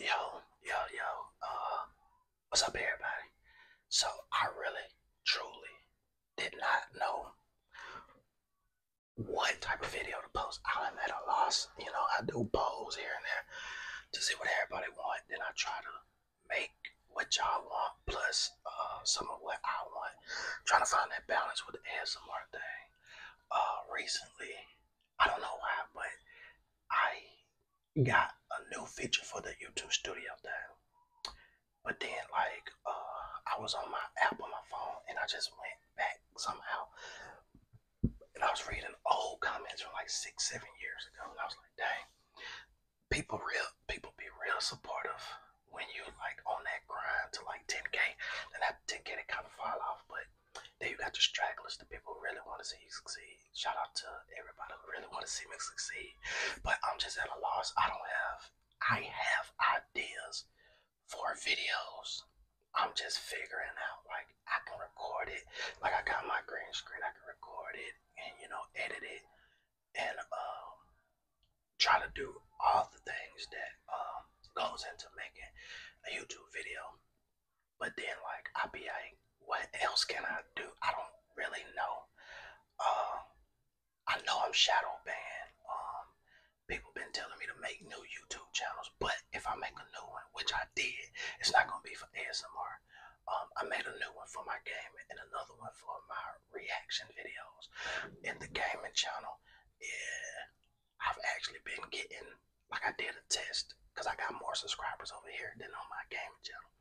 Yo, yo, yo. Uh, what's up, everybody? So I really, truly did not know what type of video to post. I'm at a loss. You know, I do polls here and there to see what everybody want. Then I try to make what y'all want plus uh, some of what I want. trying to find that balance with the ASMR thing. Uh, recently, I don't know why, but I got a new feature for the YouTube Studio there, but then like uh, I was on my app on my phone and I just went back somehow, and I was reading old comments from like six, seven years ago, and I was like, dang, people real people be real supportive when you like on that grind to like 10k, and that 10k it kind of fall off, but then you got the stragglers, the people who really want to see you succeed. Shout out to everybody who really want to see me succeed. But I'm just at a loss. I don't have, I have ideas for videos. I'm just figuring out, like, I can record it. Like, I got my green screen, I can record it and, you know, edit it and um, try to do all the things that um, goes into making a YouTube video. But then, like, I'll be like, what else can I do? I don't really know. Uh, I know I'm shadow ban. Um, people been telling me to make new YouTube channels, but if I make a new one, which I did, it's not gonna be for ASMR. Um, I made a new one for my gaming and another one for my reaction videos. And the gaming channel, yeah, I've actually been getting, like I did a test, because I got more subscribers over here than on my gaming channel.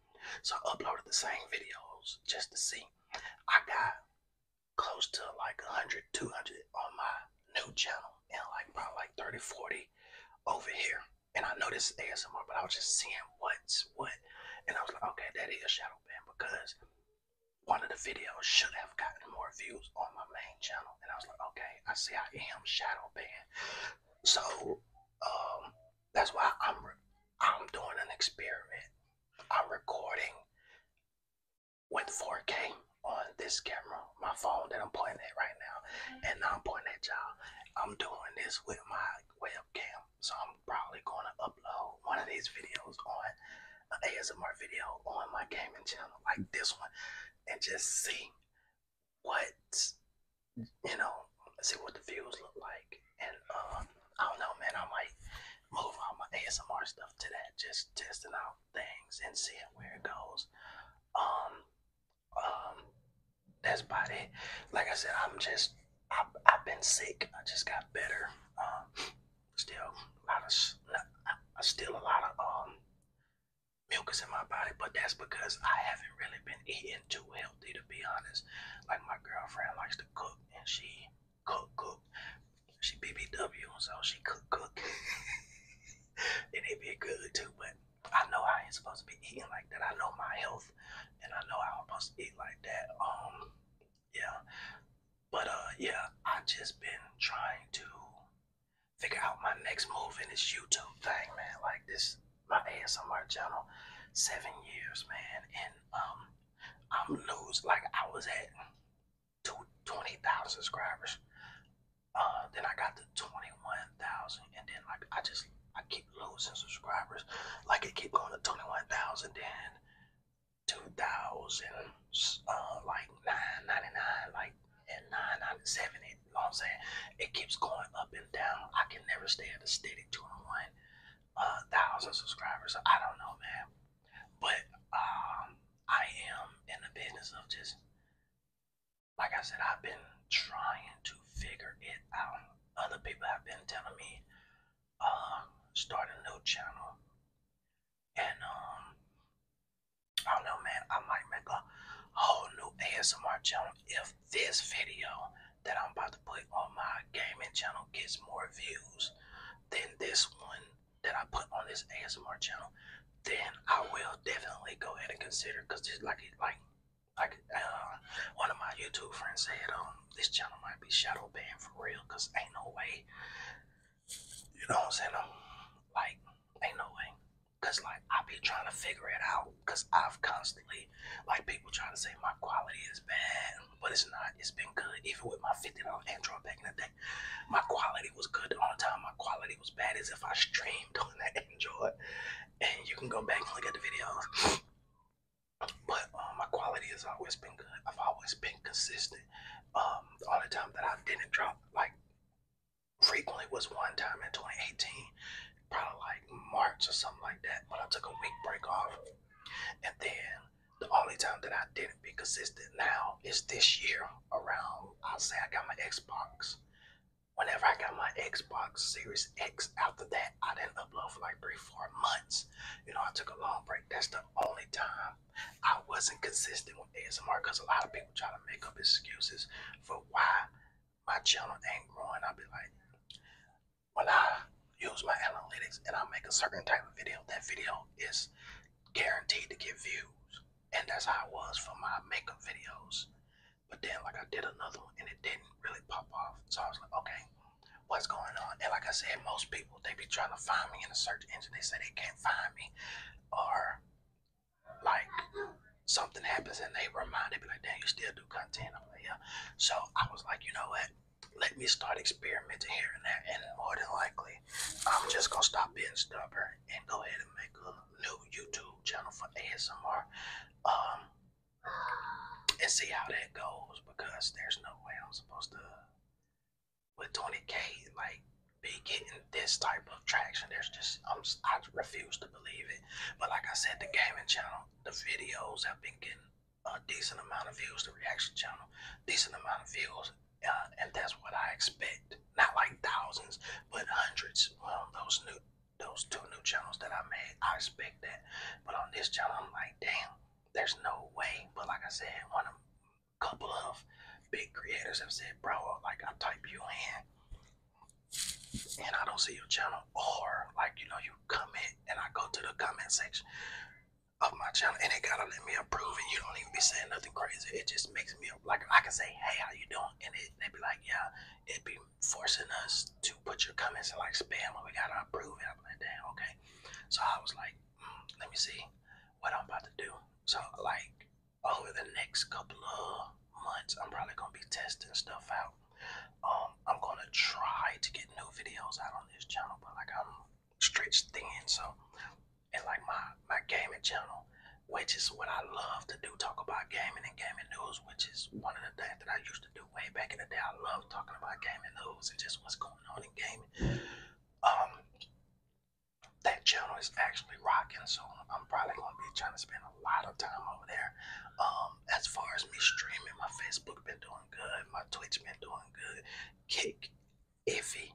So I uploaded the same videos just to see. I got close to like 100, 200 on my new channel and like probably like 30, 40 over here. And I know this is ASMR, but I was just seeing what's what. And I was like, okay, that is shadow ban because one of the videos should have gotten more views on my main channel. And I was like, okay, I say I am shadow banned. So um, that's why I'm I'm doing an experiment. I'm recording with 4K on this camera, my phone that I'm pointing at right now, and now I'm pointing at y'all. I'm doing this with my webcam, so I'm probably going to upload one of these videos on an ASMR video on my gaming channel, like this one, and just see what you know, Let's see what the views look like. And uh, I don't know, man. I might move all my ASMR stuff to that, just testing out things and seeing where it goes. Um, um, that's about it. Like I said, I'm just I, I've been sick. I just got better. Um, still a lot of, I still a lot of um milk is in my body, but that's because I haven't really been eating too healthy to be honest. Like my girlfriend likes to cook and she cook cook. She BBW, so she cook cook. and it be good too, but I know I ain't supposed to be eating like that. I know my health and I know I'm supposed to eat like that. Um yeah. But uh yeah, I just been trying to figure out my next move in this YouTube thing, man. Like this, my ASMR channel, seven years, man, and um, I'm losing. Like I was at two twenty thousand subscribers, uh, then I got to twenty one thousand, and then like I just I keep losing subscribers. Like it keep going to twenty one thousand, then two thousand, uh, like nine ninety nine, like and nine It, you know what I'm saying? It keeps going up and down. I can never stay at a steady two and uh, thousand subscribers. I don't know, man. But um, I am in the business of just, like I said, I've been trying to figure it out. Other people have been telling me, uh, start a new channel, and um, I don't know, man. I might make a whole new ASMR channel if this video that I'm about to put on my gaming channel gets more views than this one that I put on this ASMR channel. Then I will definitely go ahead and consider because this like like like uh, one of my YouTube friends said um this channel might be shadow banned for real because ain't no way you know what I'm saying? i like, ain't no way. Cause like I be trying to figure it out. Cause I've constantly like people trying to say my quality is bad, but it's not. It's been good. Even with my fifty dollar Android back in the day, my quality was good. all The time my quality was bad as if I streamed on that Android. And you can go back and look at the videos. But um, my quality has always been good. I've always been consistent. Um, the time that I didn't drop like frequently was one time in 2018, probably like March or something like that, But I took a week break off. And then the only time that I didn't be consistent now is this year around, I'll say I got my Xbox. Whenever I got my Xbox Series X, after that, I didn't upload for like three, four months. You know, I took a long break. That's the only time I wasn't consistent with ASMR because a lot of people try to make up excuses for why my channel ain't growing. I'll be like, when I use my analytics and I make a certain type of video, that video is guaranteed to get views. And that's how I was for my makeup videos. But then, like, I did another one and it didn't really pop off. So I was like, okay, what's going on? And like I said, most people, they be trying to find me in a search engine. They say they can't find me or like something happens and they remind me, like, damn, you still do content. I'm like, yeah. So I was like, you know what? Let me start experimenting here and there. And more than likely, I'm just gonna stop being stubborn and go ahead and make a new YouTube channel for ASMR. Um and see how that goes because there's no way I'm supposed to with 20k, like be getting this type of traction. There's just I'm, I refuse to believe it. But like I said, the gaming channel, the videos have been getting a decent amount of views. The reaction channel, decent amount of views, uh, and that's what I expect. Not like thousands, but hundreds. Well, those new, those two new channels that I made, I expect that. But on this channel, I'm like, damn, there's no way. But like I said, one of couple of big creators have said, bro, like I type you in and I don't see your channel, or like you know, you comment and I go to the comment section of my channel and they gotta let me approve it. You don't even be saying nothing crazy. It just makes me like I can say, hey, how you doing? And it, they be like, yeah, it be forcing us to put your comments in like spam, and we gotta approve it. I'm like, damn, okay. So I was like, let me see what I'm about to do. So like over the next couple of months, I'm probably gonna be testing stuff out. Um, I'm gonna try to get new videos out on this channel, but like I'm stretched thin, so and like my my gaming channel, which is what I love to do, talk about gaming and gaming news, which is one of the things that I used to do way back in the day. I love talking about gaming news and just what's going on in gaming. Um, that channel is actually rocking, so I'm probably gonna be trying to spend a lot of time over there. Um, as far as me streaming, my Facebook been doing good, my Twitch been doing good, Kick iffy,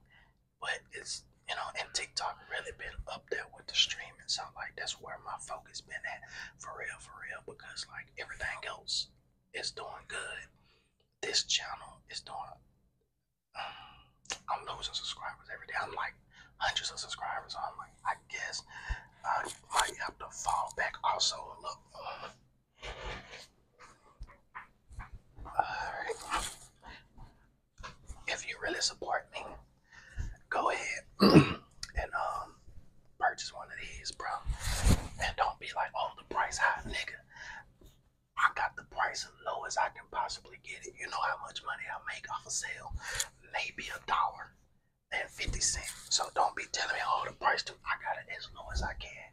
but it's you know, and TikTok really been up there with the streaming, so like that's where my focus been at for real, for real, because like everything else is doing good. This channel is doing I'm losing subscribers every day. I'm like hundreds of subscribers. I'm like, I guess I might have to fall back. Also, look. If you really support me, go ahead and um purchase one of these, bro. And don't be like, oh, the price high, nigga. I got the price as low as I can possibly get it. You know how much money I make off a sale? Maybe a dollar and 50 cents. So don't be telling me, oh, the price too. I got it as low as I can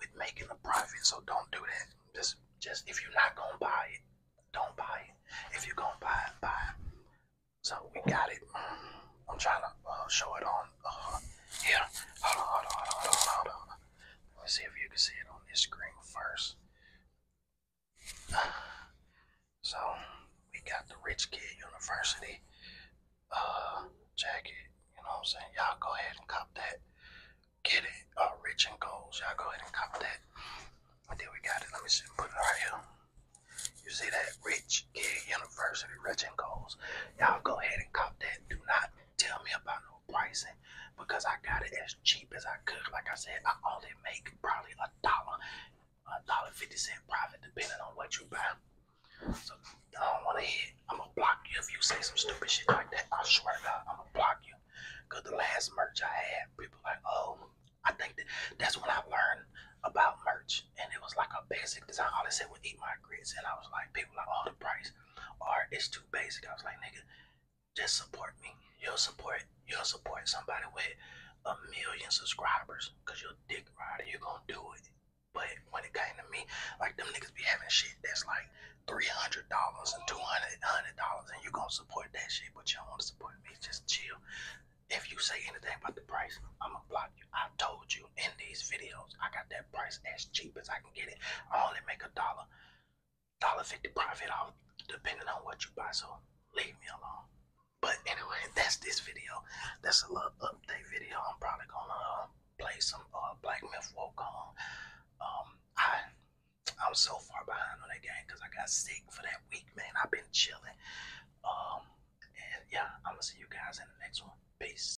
with making a profit. So don't do that. Just, just if you're not going to buy it, don't buy it. If you're going to buy it, buy it. So we got it. I'm trying to uh, show it on uh, here let me see if you can see it on this screen first. So we got the Rich Kid University uh, jacket. You know what I'm saying? Y'all go ahead and cop that. Get it. Uh, rich and Goals. Y'all go ahead and cop that. And then we got it. Let me see. Put it right here. You see that? Rich Kid University. Rich and Goals. Y'all go ahead and cop that. Do not tell me about no pricing because I got it as cheap as I could. Like I said, I only make probably a dollar, a dollar fifty cent profit depending on what you buy. So I don't want to hit. I'm gonna block you if you say some stupid shit like that. I swear to I'm gonna block you. Cause the last merch I had, people like, oh, I think that that's when I learned about merch, and it was like a basic design. All they said was eat my grits, and I was like, people like, oh, the price art is too basic. I was like, nigga, just support me. You'll support you'll support somebody with a million subscribers because you're dick rider. You're gonna do it. But when it came to me, like them niggas be having shit that's like three hundred dollars and two hundred hundred dollars, and you gonna support that shit, but you don't want to support me. Just chill. If you say anything about the price, I'ma block you. I told you in these videos, I got that price as cheap as I can get it. I only make a dollar, dollar fifty profit off, depending on what you buy. So leave me alone. But anyway, that's this video. That's a little update video. I'm probably gonna um, play some uh, Black Myth Woke on. Um, I I'm so far behind on that game because I got sick for that week, man. I've been chilling. Um, and yeah, I'm gonna see you guys in the next one. Peace.